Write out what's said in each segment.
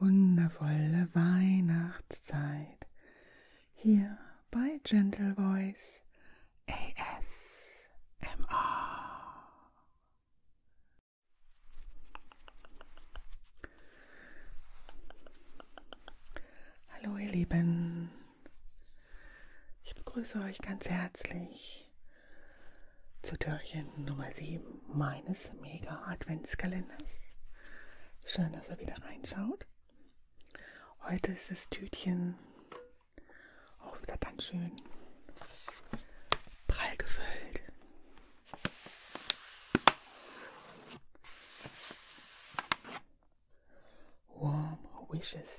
wundervolle Weihnachtszeit hier bei Gentle Voice ASMR. Hallo ihr Lieben, ich begrüße euch ganz herzlich zu Türchen Nummer 7 meines Mega Adventskalenders. Schön, dass ihr wieder reinschaut. Heute ist das Tütchen auch wieder ganz schön prall gefüllt. Warm Wishes.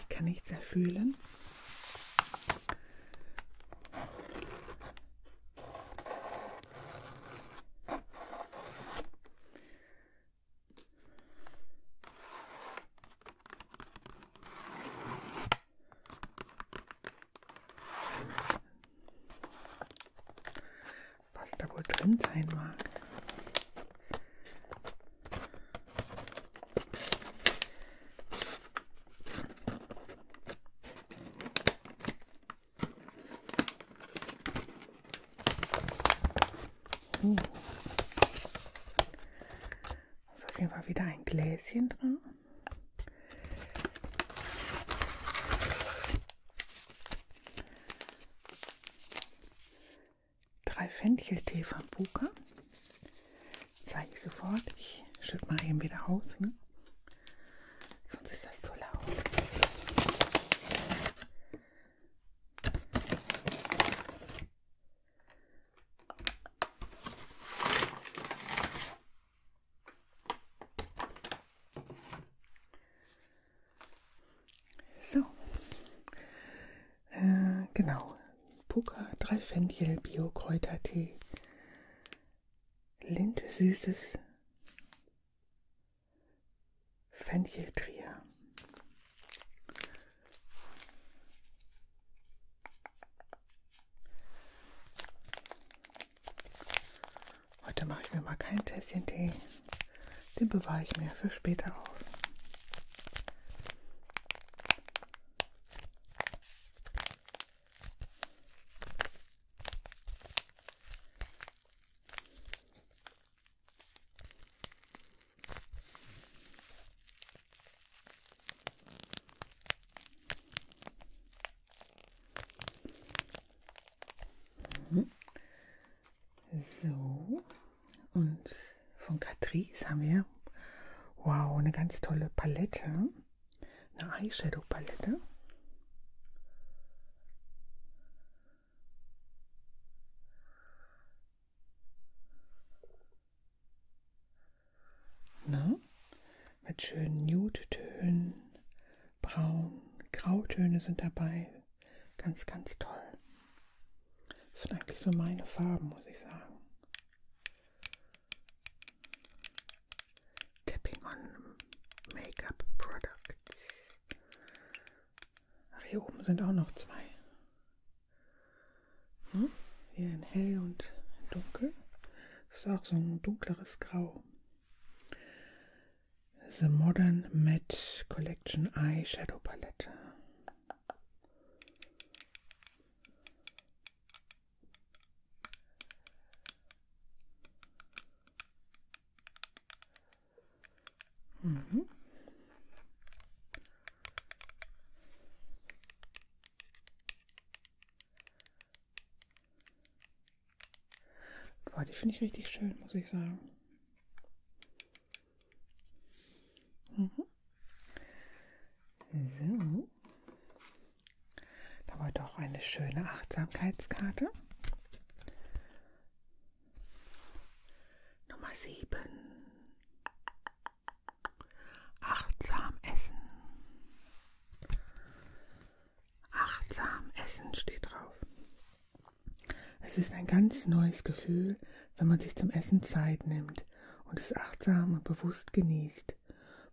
Ich kann nichts mehr fühlen. Was da wohl drin sein mag. Uh. Ist auf jeden Fall wieder ein Gläschen drin. Drei Fencheltee von Buka. Zeige ich sofort. Ich schütte mal eben wieder aus. Ne? Sonst ist das zu laut. So, äh, genau. Puka, Dreifenchel, Bio-Kräutertee, Lind, süßes Fencheltrier. Heute mache ich mir mal keinen Tässchen Tee. Den bewahre ich mir für später auf. So, und von Catrice haben wir, wow, eine ganz tolle Palette, eine Eyeshadow-Palette mit schönen Nude-Tönen, braun, Grautöne sind dabei. Ganz, ganz toll. Das sind eigentlich so meine Farben, muss ich sagen. Tapping on Make-up Products. Ach, hier oben sind auch noch zwei. Hm? Hier in hell und in dunkel. Das ist auch so ein dunkleres Grau. The Modern Met Collection Eyeshadow Palette. Boah, die finde ich richtig schön, muss ich sagen. Mhm. So. Da war doch eine schöne Achtsamkeitskarte. Nummer 7. Achtsam essen. Achtsam essen steht drauf. Es ist ein ganz neues Gefühl, wenn man sich zum Essen Zeit nimmt und es achtsam und bewusst genießt.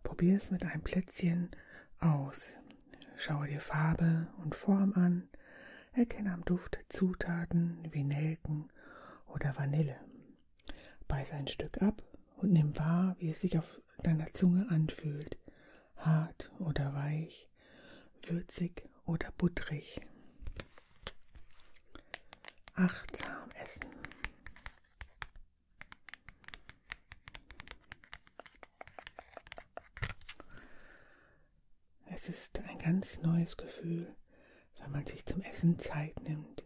Probier es mit einem Plätzchen aus. Schaue dir Farbe und Form an. Erkenne am Duft Zutaten wie Nelken oder Vanille. Beiß ein Stück ab und nimm wahr, wie es sich auf deiner Zunge anfühlt hart oder weich, würzig oder butterig. Achtsam essen. Es ist ein ganz neues Gefühl, wenn man sich zum Essen Zeit nimmt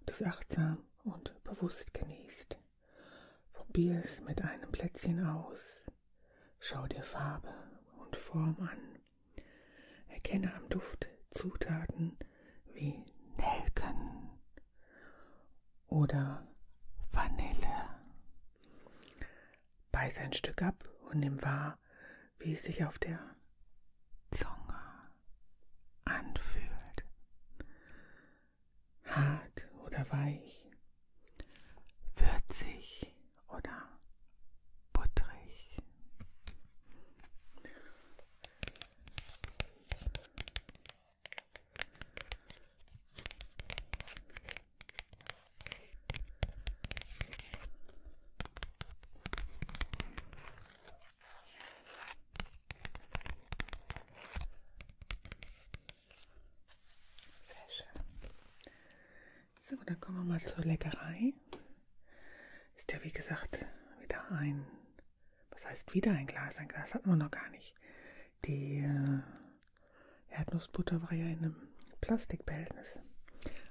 und es achtsam und bewusst genießt. Probier es mit einem Plätzchen aus. Schau dir Farbe und Form an. Erkenne am Duft Zutaten wie Nelken oder Vanille. Beiß ein Stück ab und nimm wahr, wie es sich auf der Zunge anfühlt hart oder weich, würzig oder butterig. Sehr schön. So, dann kommen wir mal zur Leckerei. Ist ja wie gesagt wieder ein, was heißt wieder ein Glas? Ein Glas hatten wir noch gar nicht. Die äh, Erdnussbutter war ja in einem Plastikbehältnis.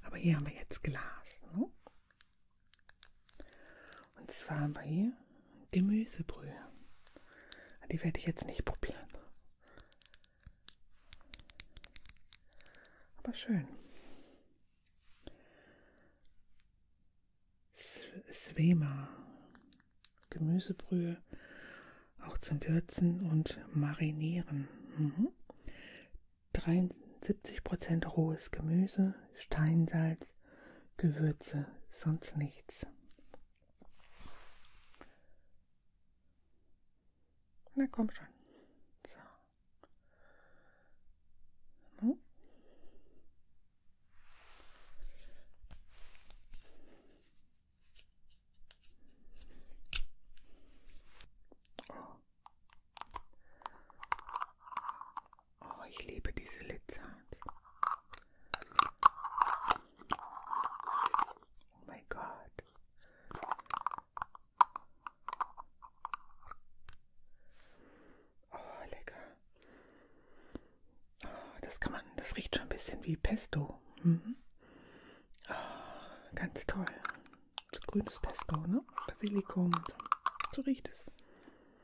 Aber hier haben wir jetzt Glas. Ne? Und zwar haben wir hier Gemüsebrühe. Die werde ich jetzt nicht probieren. Aber schön. Svema. Gemüsebrühe. Auch zum Würzen und Marinieren. Mhm. 73% rohes Gemüse, Steinsalz, Gewürze, sonst nichts. Na komm schon. So. Hm? Oh. oh, ich liebe diese Litzhans. Oh my God. Oh, lecker. Oh, das kann man, das riecht schon ein bisschen wie Pesto. Mhm. Oh, ganz toll. Grünes Pesto, ne? Basilikum. So riecht es.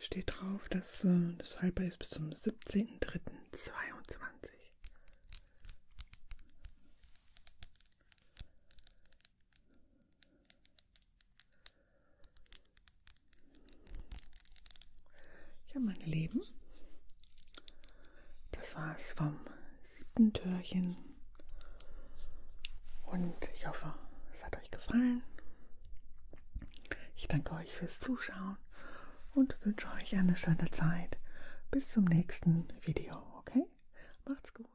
Steht drauf, dass äh, das halber ist bis zum 17.03.22. Ja, meine Lieben, das war's vom siebten Türchen. Und ich hoffe, es hat euch gefallen. Ich danke euch fürs Zuschauen und wünsche euch eine schöne Zeit. Bis zum nächsten Video, okay? Macht's gut.